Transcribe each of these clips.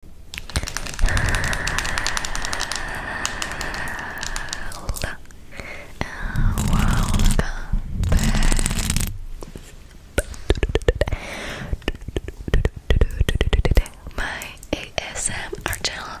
Hello and welcome back my ASMR channel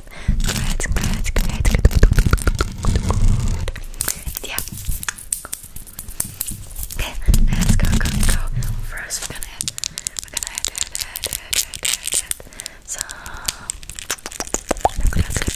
Congrats, congrats, congrats. Good, good, good, good, good. Yeah. Okay, let's go, go, go. First, we're gonna add, we're gonna add, add, add, add, add, add, add. So, I'm gonna clip this.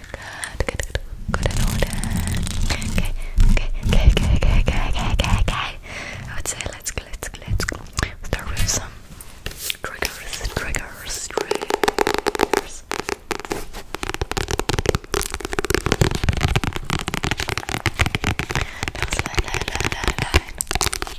Good, good, good, good in order. Okay, okay, okay, okay, okay, okay, okay, okay, okay. I would say let's go, let's go, let's go. Start with some triggers, triggers, triggers. Just line, line, line, line, line.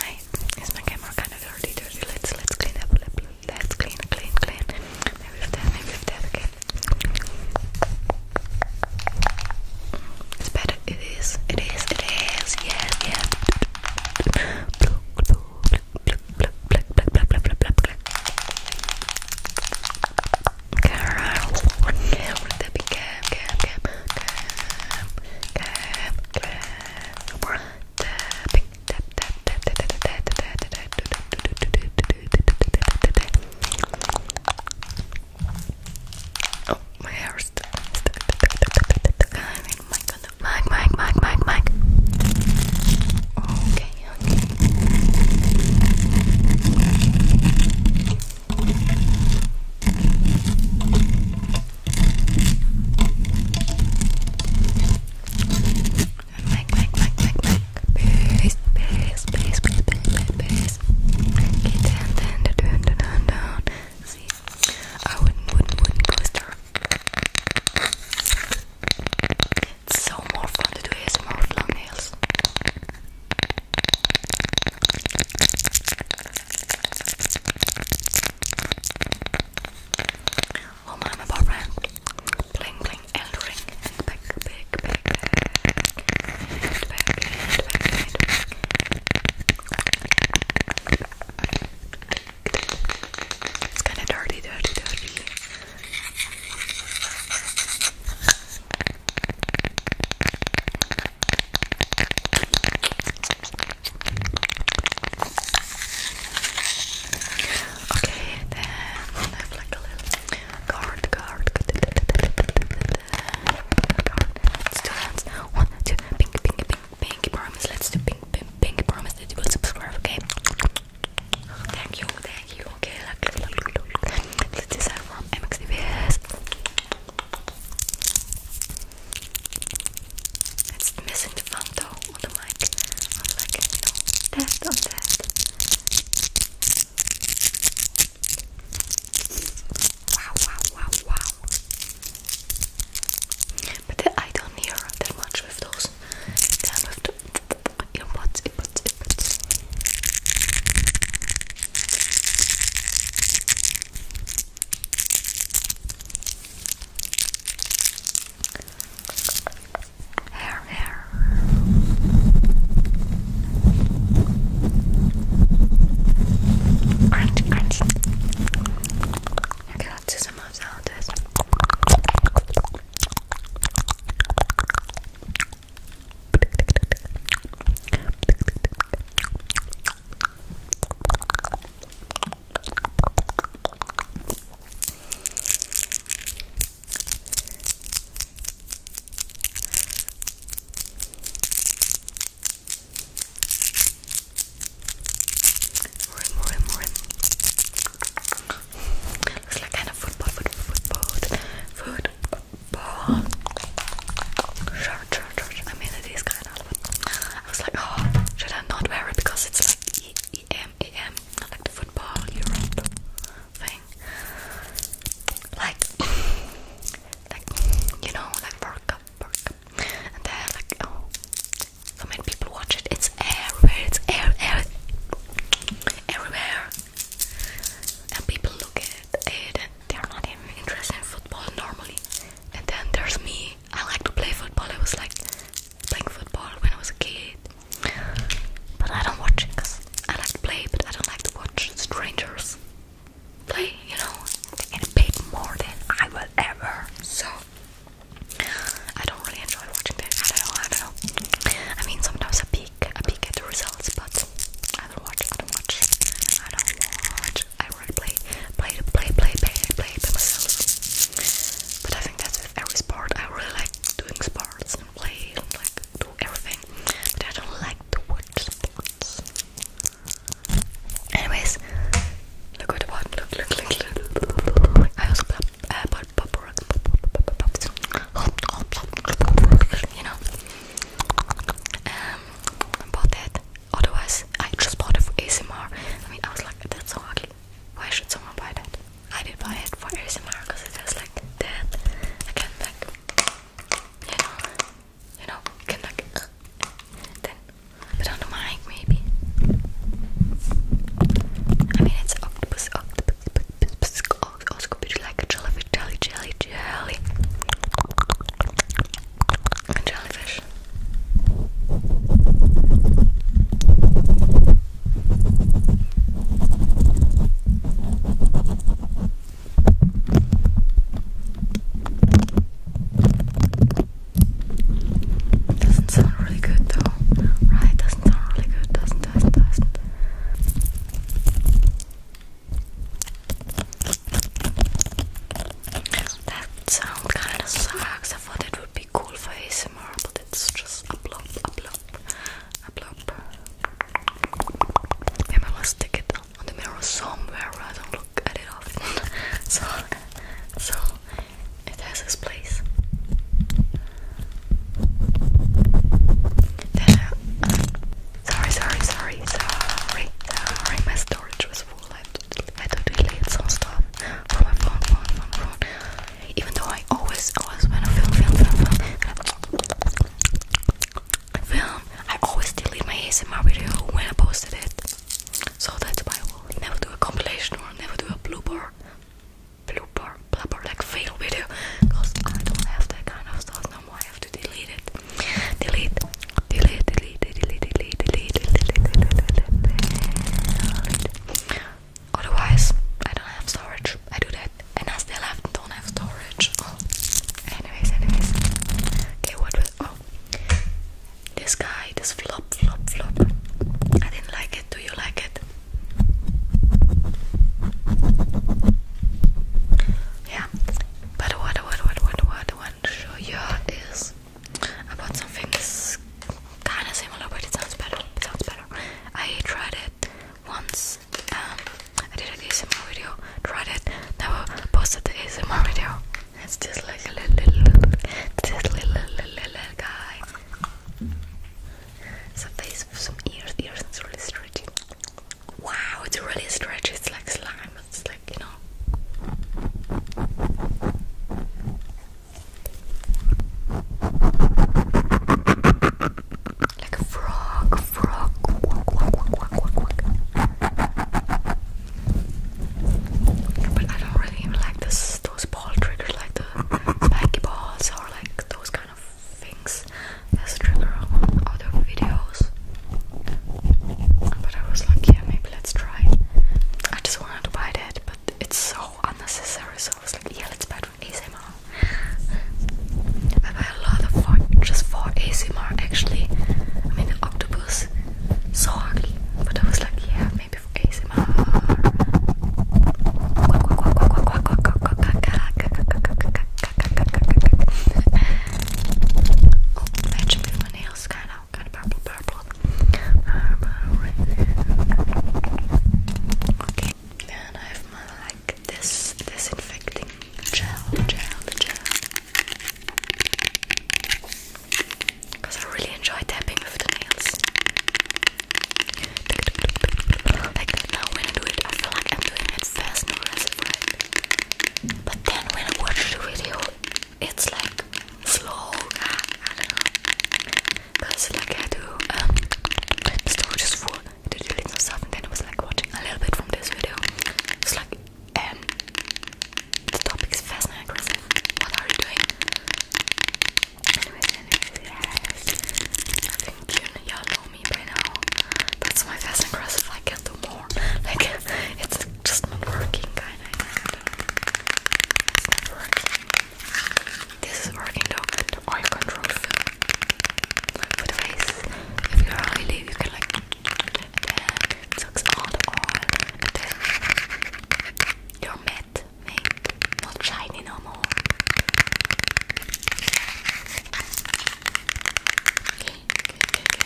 My is my camera kind of dirty, dirty. Let's let's clean up. Let's clean, clean, clean. Maybe with that, maybe with that again. It's better. It is. It is. It is. Yes. Yes. Carol, Carol, Debbie, Cam, Cam, Cam, Cam, Cam, Cam. Oh, my hair stuck. Mike, Mike, Mike, Mike, Mike. Okay, okay. Like, like, like, like, like. Peace, peace, peace, peace, peace, peace. Okay, down, down, down, down, down, down. See, I wouldn't, wouldn't, wouldn't blister. It's so more fun to do ASMR with long nails. Oh my, my boyfriend. Bling, bling, and ring. And back, back, It's kinda dirty, dirty, dirty. Okay, then I have like a little card, card, card. Let's do hands. One, two, pink, pink, pink, pink. Promise. Let's do pink, pink, pink. Promise that you will subscribe. Okay. Thank you, thank you. Okay, look, look, look, look. Let's decide from MXDBS. It's missing the fun though on the mic. I'm like, no, test Wow, wow, wow, wow. But I don't hear that much with those kind of the earbuds, earbuds, earbuds. Hair, hair. Crunch, crunch. Okay, let's do some more salad taste. Rim, rim, rim. Looks like kind of food, food, food, food, food, food but I mean, it is kind of, I was like, oh, should I not wear it because it's like EM, EM, like the football Europe thing, like, like you know, like World Cup, World Cup, and then like, oh, so many people watch it. It's everywhere. It's air, air, everywhere, and people look at it and they're not even interested in football normally. And then there's me. I like to play football. I was like playing football when I was a kid. But I don't watch it because I like to play, but I don't like to watch strangers play, you know. and get paid more than I will ever. So I don't really enjoy watching that. I don't know, I don't know. I mean sometimes I peek I peek at the results, but I don't watch, I don't watch, I don't watch. I would play, play, play, play, play, play myself. But I think that's with every sport. I really like doing sports and play and like do everything. But I don't like to watch sports. Anyways, look what I bought. Look, look, look, look. I also bought, uh, pop rocks, you know. I bought that. Otherwise, I just bought it for ASMR. I mean, I was like, that's so ugly. Why should someone buy that? I did buy it for ASMR because it has like that. I can like, you know, you know, I can like, uh, then I don't mic maybe. I mean, it's octopus, octopus, octopus, octopus, octopus, octopus, like a television jelly, jelly, jelly. jellyfish. Doesn't sound really good though, right? Doesn't sound really good, doesn't, doesn't, doesn't. That sound kinda sucks. I thought it would be cool for ASMR, but it's just a blob, a blob, a blob. Maybe I will stick it on the mirror somewhere I don't look at it often. so, so it has its place. Sorry, sorry, sorry, sorry. Uh, uh, sorry, my storage was full. I had to delete some stuff from my phone, phone, phone, phone. Even though I always, always when I film, film, film, film, film, I always delete my ASMR video when I posted it. So that's why I will never do a compilation or never do a blooper, blooper, blooper, like fail video, because I don't have that kind of stuff. No no more, I have to delete it. Delete, delete, delete, delete, delete, delete, delete, delete, delete. Otherwise, I don't have storage. I do that, and I still have don't have storage. Oh, anyways, anyways. Okay, what was oh this guy? This flop, flop, flop. I didn't like it. Do you like it? Yeah, but what what what what what I want to show you is about something that's kind of similar, but it sounds better. sounds better. I tried it once. Um, I did an ASMR video. Tried it. Never posted the ASMR video. It's just like a little, little, little, just little, little, little, little guy. face, some ears, ears, and really stretchy. Wow, it's really stretchy. It's like slime. It's like you know. Like a frog, frog, quack, quack, quack, quack, But I don't really even like this, those ball triggers, like the spiky balls or like those kind of things as trigger on other videos. But I was like, yeah, maybe let's try. I just wanted to buy it, but it's so unnecessary, so I was like, yeah, let's buy it for ASMR. I buy a lot of for just for ASMR actually. I mean, octopus, so ugly, but I was like, yeah, maybe for ASMR oh, actually my nails kind of, kind of purple, purple. Um, okay, then I have my like this disinfecting gel, gel, gel. Because I really enjoy tapping with the nails. Like now when I do it, I feel like I'm doing Fast first aggressive, But then when I watch the video, it's like slow. Because like I do, um, storage is full. I did delete some stuff and then I was like watching a little bit from this video. It's like, um, the topic is fascinating. What are you doing? That's my fast and aggressive. I can do more. Like it's just not working, kind of. This is working though. The eye control film. But face, if you are really, you can like it sucks all the oil and then you matte, mate, not shiny no more. Okay, good, good, good, good.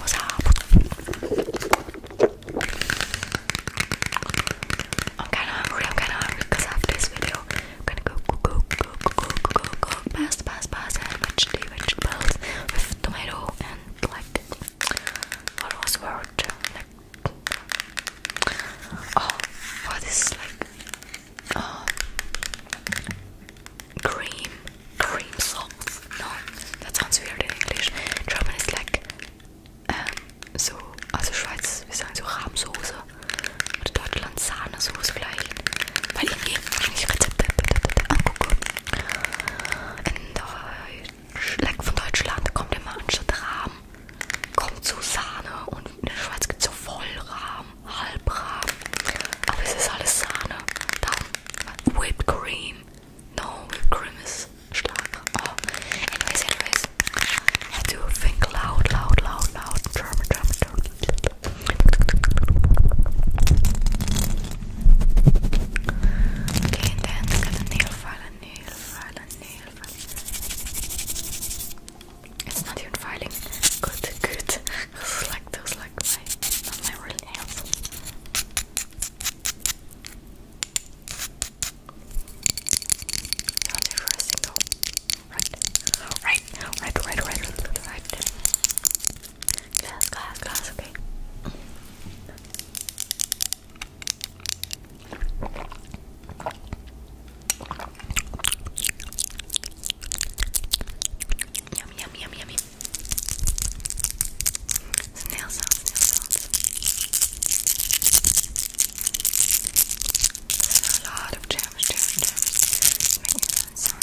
What's up? I'm kinda hungry, I'm kinda hungry because after this video I'm gonna go go go go go go go go past past past and vegetable vegetables with tomato and like what was word like oh what is like oh, cream cream sauce no that sounds weird in English German is like um, so also Schweiz wir sagen so Rahmsoße oder Deutschland Sahnesoße vielleicht weil ich mir eigentlich Rezepte angucke Leck von Deutschland kommt immer anstatt Rahmen, kommt zu Sahne und in der Schweiz gibt es so Vollrahmen, Halbrahmen, aber es ist alles Sahne. Dann Whipped Cream, no Whipped Cream ist Schlag. Oh. Anyways, anyways, I do think loud, loud, loud, loud, German, German, German. Oké, en dan ik het file, een heel file, een heel file. It's not even filing. Good, good. It's like those, my, not my real nails. Not every single. Right, right, right, right, right, right. Glass, glass, glass, okay. Yummy, yummy, yummy, yummy. Snail sounds, snail a lot of jams, jams, jams. Making sound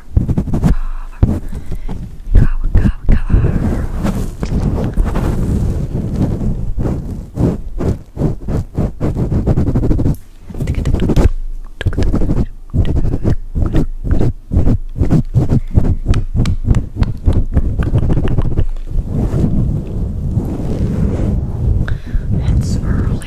color, color, color, color, color. It's early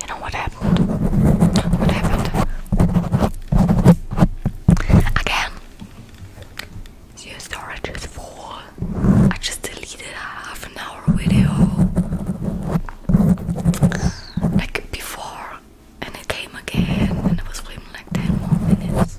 You know what happened? What happened? Again, your storage is I just deleted a half an hour video like before, and it came again, and I was filming like 10 more minutes.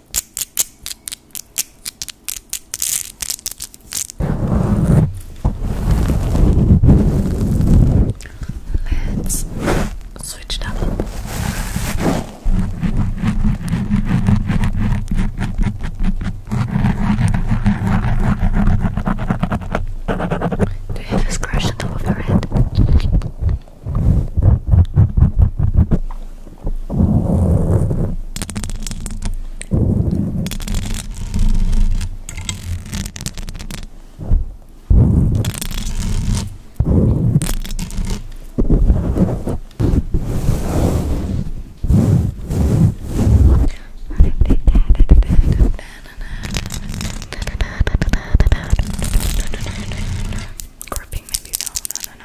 Let's switch it up. Do you hear this crash on top of your head? Gripping maybe no, no, no,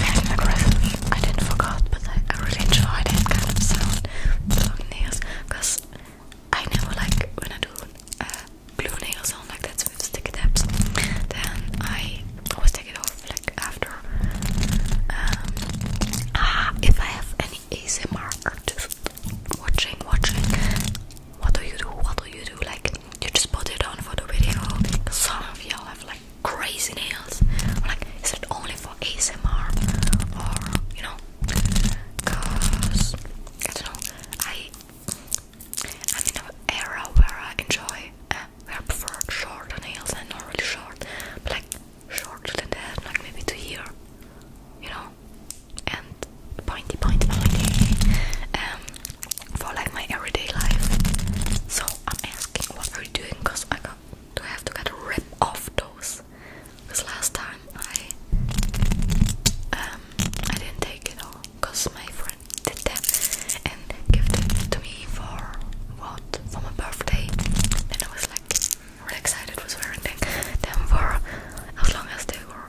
Very aggressive. I didn't forget, but I, really enjoyed that kind of sound. Long nails, because I never like when I do uh, nails on like that with sticky tabs. Then I always take it off like after. Um, ah, if I have any ASMR artist watching, watching, what do you do? What do you do? Like you just put it on for the video. some of y'all have like crazy nails. like, is it only for ASMR or you know? Cause I don't know. I I'm in an era where I enjoy, uh, I prefer short nails and not really short, but like shorter than that, like maybe to here. You know, and pointy, pointy, pointy um, for like my everyday life. So I'm asking, what are you doing? Cause I got to have to get rip off those. Cause last time I um I didn't take it all, cause my friend did that and gifted it to me for what for my birthday. And I was like really excited, was wearing them for as long as they were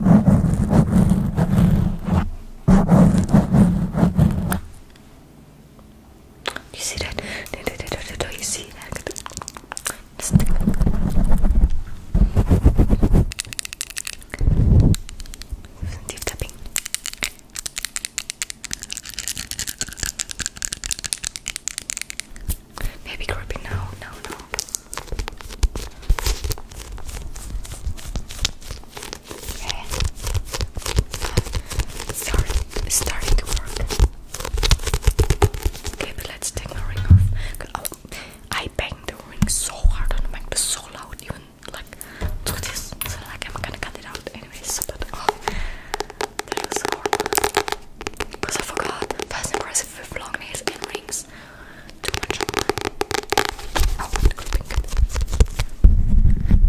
You see that? Do you see that? Just deep Maybe gripping now, no, no. Yeah. Uh, starting to work. Okay, let's take my ring off. Oh, I banged the ring so hard on the mic, but so loud, even like to this. So like I'm gonna cut it out anyways. But oh, that was horrible. Because I forgot fast impressive with long and rings too much online. I want to go pink. What, what, what, what, what, what?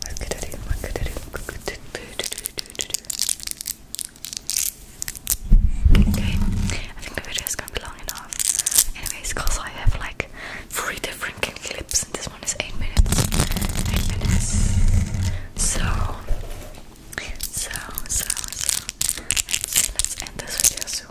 What could I do? What could I do? What could I do? do, do, do, do, do, do. Okay, I think the video is going to be long enough. Anyways, because I have like three different clips and this one is 8 minutes. 8 minutes. So, so, so, so. Let's, let's end this video soon.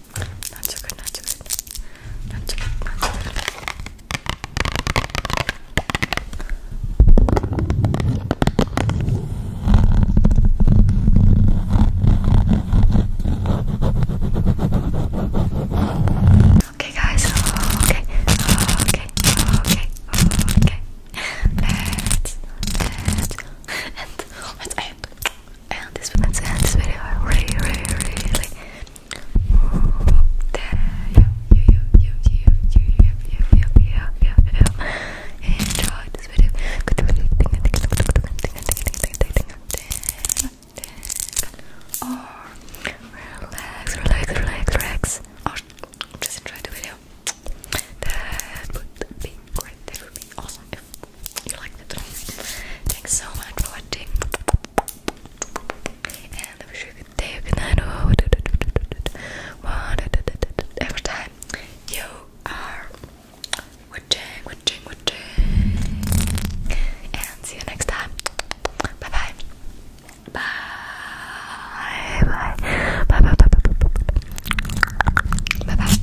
Not so good, not so good. Not so good, not so good. Okay, guys. Okay, okay, okay, okay. Let's, let's, and let's end and this let's end this video really really really enjoy this video or relax relax relax relax or just enjoy the video that would be great that would be awesome if you like the tone. Thanks so much for watching. And I a good day, good night, oh, do, every time you are watching, watching, watching. And see you next time. Bye bye. Bye bye bye bye bye bye. Bye bye.